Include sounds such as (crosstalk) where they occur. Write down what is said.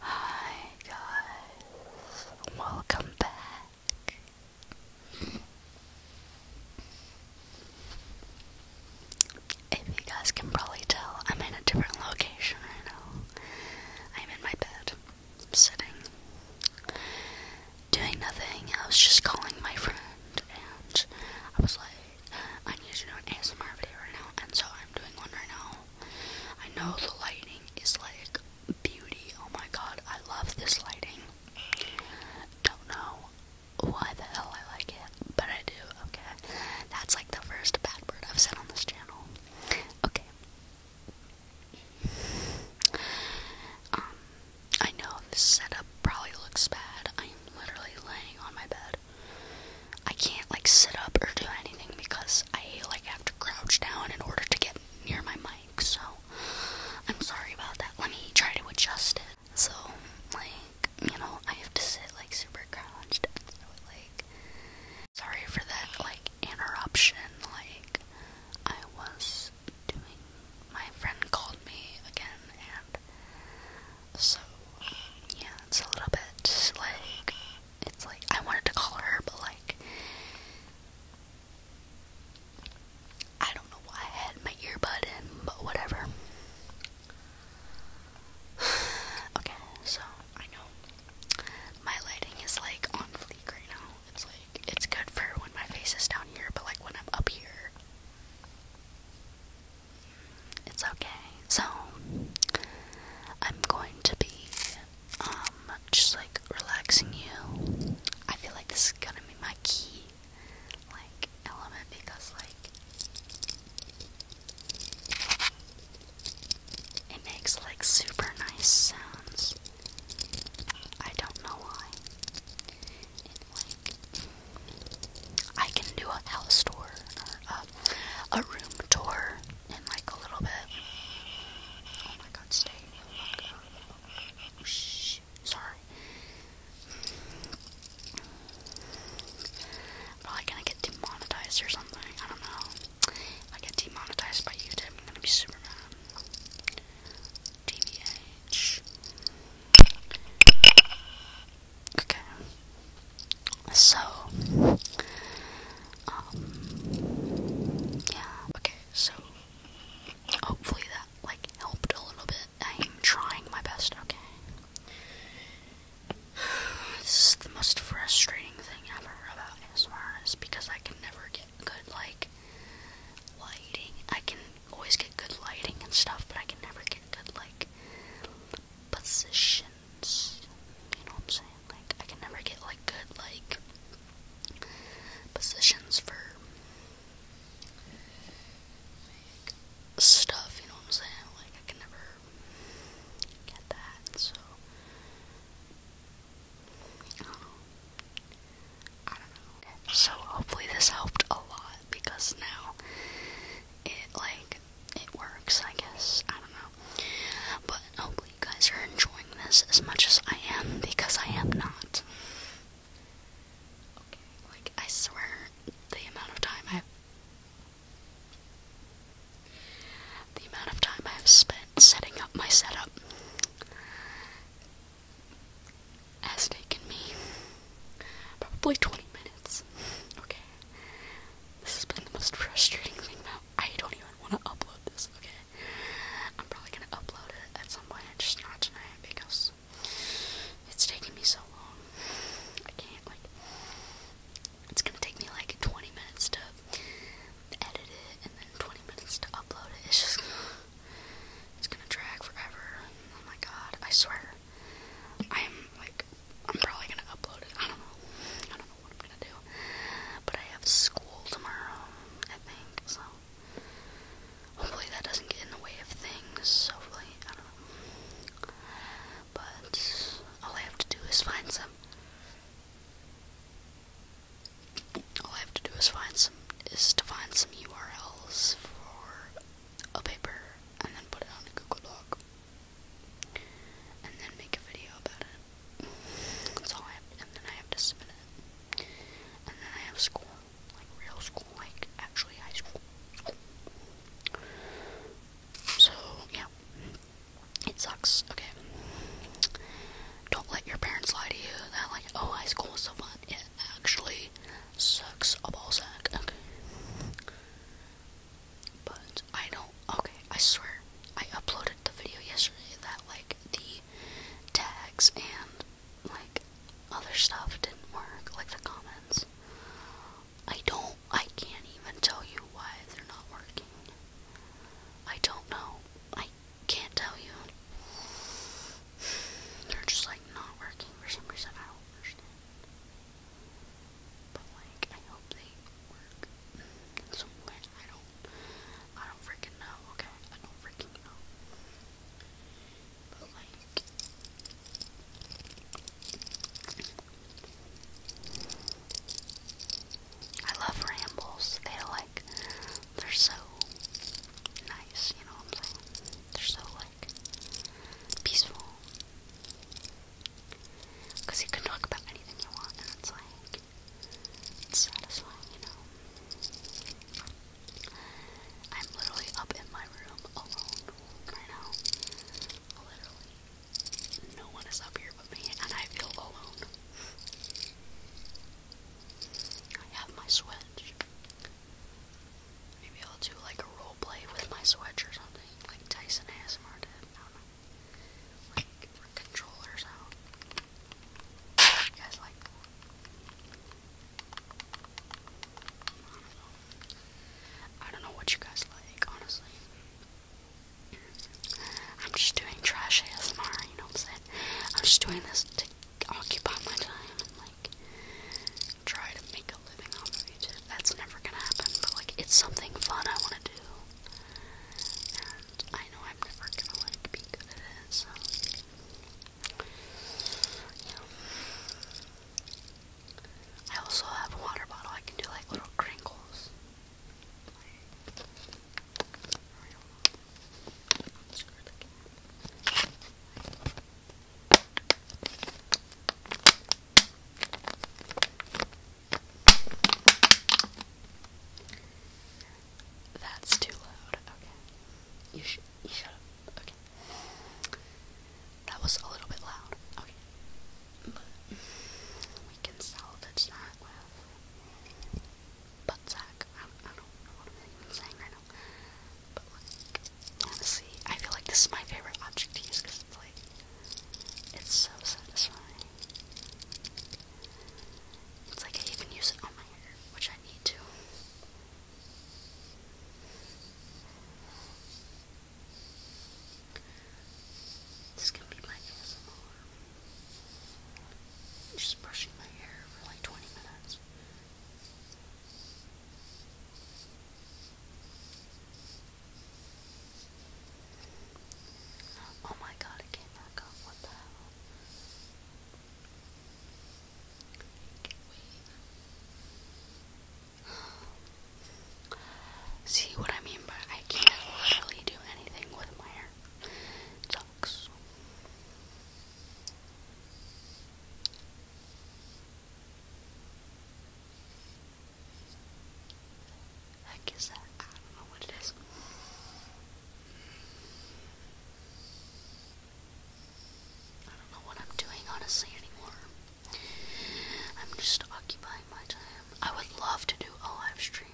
Hi guys, welcome back. If you guys can probably tell, I'm in a different location right now. I'm in my bed, sitting, doing nothing. I was just calling my friend and I was like, I need to do an ASMR video right now, and so I'm doing one right now. I know the lighting is like beauty. Oh my god, I love this lighting. Don't know why the hell I like it, but I do, okay? That's like the first bad word I've said on this channel. Okay. Um, I know this setup probably looks bad. I am literally laying on my bed I can't like sit up or do anything because I like have to crouch down in order to get near my mic. So I'm sorry about that. Let me try to adjust it. So like you know I have to sit like super crouched. So like sorry for that like interruption. Like I was doing. My friend called me again and so, um, yeah, it's a little bit like it's like I wanted to call her, but like I don't know why I had my earbud in, but whatever. (sighs) okay, so I know my lighting is like on fleek right now. It's like it's good for when my face is down here, but like when I'm up here, it's okay. So, I'm going to be um, just like relaxing you. I feel like this is gonna be my key like element because like it makes like super nice sounds. I don't know why. I can do a house tour or uh, a, a room tour in like a little bit. Oh my god, stay. Fuck. Oh, shh. Sorry. Probably gonna get demonetized or something. I don't know. I get demonetized by YouTube, I'm gonna be super mad. TBH. Okay. So, um, yeah. Okay, so hopefully that like helped a little bit. I'm trying my best. Okay. (sighs) This is the most frustrating thing ever about ASMR is because I can never get good like lighting. I can always get good lighting and stuff, but I can never get good like positions. You know what I'm saying? Like I can never get like good like positions for stuff, you know what I'm saying? Like I can never get that, so I don't know. So hopefully this helped a lot because now it like it works, I guess. I don't know. But hopefully you guys are enjoying this as much as I am because I am not. Okay, like I swear the amount of time i the amount of time I've spent setting up my setup has taken me probably 20 minutes. Okay. This has been the most frustrating thing about I don't even want to upload this, okay? I'm probably gonna upload it at some point, just not tonight because it's taking me so long. I can't like it's gonna take me like 20 minutes to edit it and then 20 minutes to upload it. It's just it's gonna drag forever. Oh my god, I swear. I'm like, I'm probably gonna upload it. I don't know. I don't know what I'm gonna do. But I have school tomorrow, I think, so hopefully that doesn't get in the way of things. Hopefully, I don't know. But all I have to do is find some. All I have to do is find some is to find some URLs for a paper and then put it on a Google Doc and then make a video about it. That's all I have, and then I have to submit it. And then I have school, like real school, like actually high school. So yeah, it sucks. Okay, don't let your parents lie to you that like oh high school is so fun. It actually sucks a ball sack. Okay. But I don't. Okay, I swear. I uploaded the video yesterday that, like, the tags and, like, other stuff didn't work. Like, the comments. I don't. I can't even tell you why they're not working. I don't know. I can't tell you they're just like not working for some reason. I don't understand. But like, I hope they work in some I don't, I don't freaking know. Okay, I don't freaking know. But like. I love rambles. They like they're so nice, you know They're so like peaceful. Cause you can talk about anything you want and it's like it's satisfying, you know. I'm literally up in my room alone right now. Literally. No one is up here but me, and I feel alone. I have my Switch. Maybe I'll do like a role play with my Switch or something, like Tyson ASMR Like controllers out. You guys like I don't know. I don't know what you guys like, honestly. I'm just doing trash ASMR, you know what I'm saying? I'm just doing this to occupy my time like try to make a living off of YouTube. That's never gonna happen, but like it's something fun I wanna do. And I know I'm never gonna like be good at it, so yeah. I also have a water bottle, I can do like little crinkles. That's too loud. Okay. You sh you shut up. Okay. That was a little bit loud. Okay. But we can salvage that butt sack. I don't, know what I'm saying right now. But like, honestly, I feel like this is my favorite object to use because it's like, it's so satisfying. It's like I even use it on my hair, which I need to. This can be my ASMR. I'm just brushing my hair for like 20 minutes. Oh my god, it came back up. What the hell? See what I mean by I can't literally do anything with my hair. sucks. Heck is that? I don't know what it is. I don't know what I'm doing honestly anymore. I'm just occupying my time. I would love to do a live stream.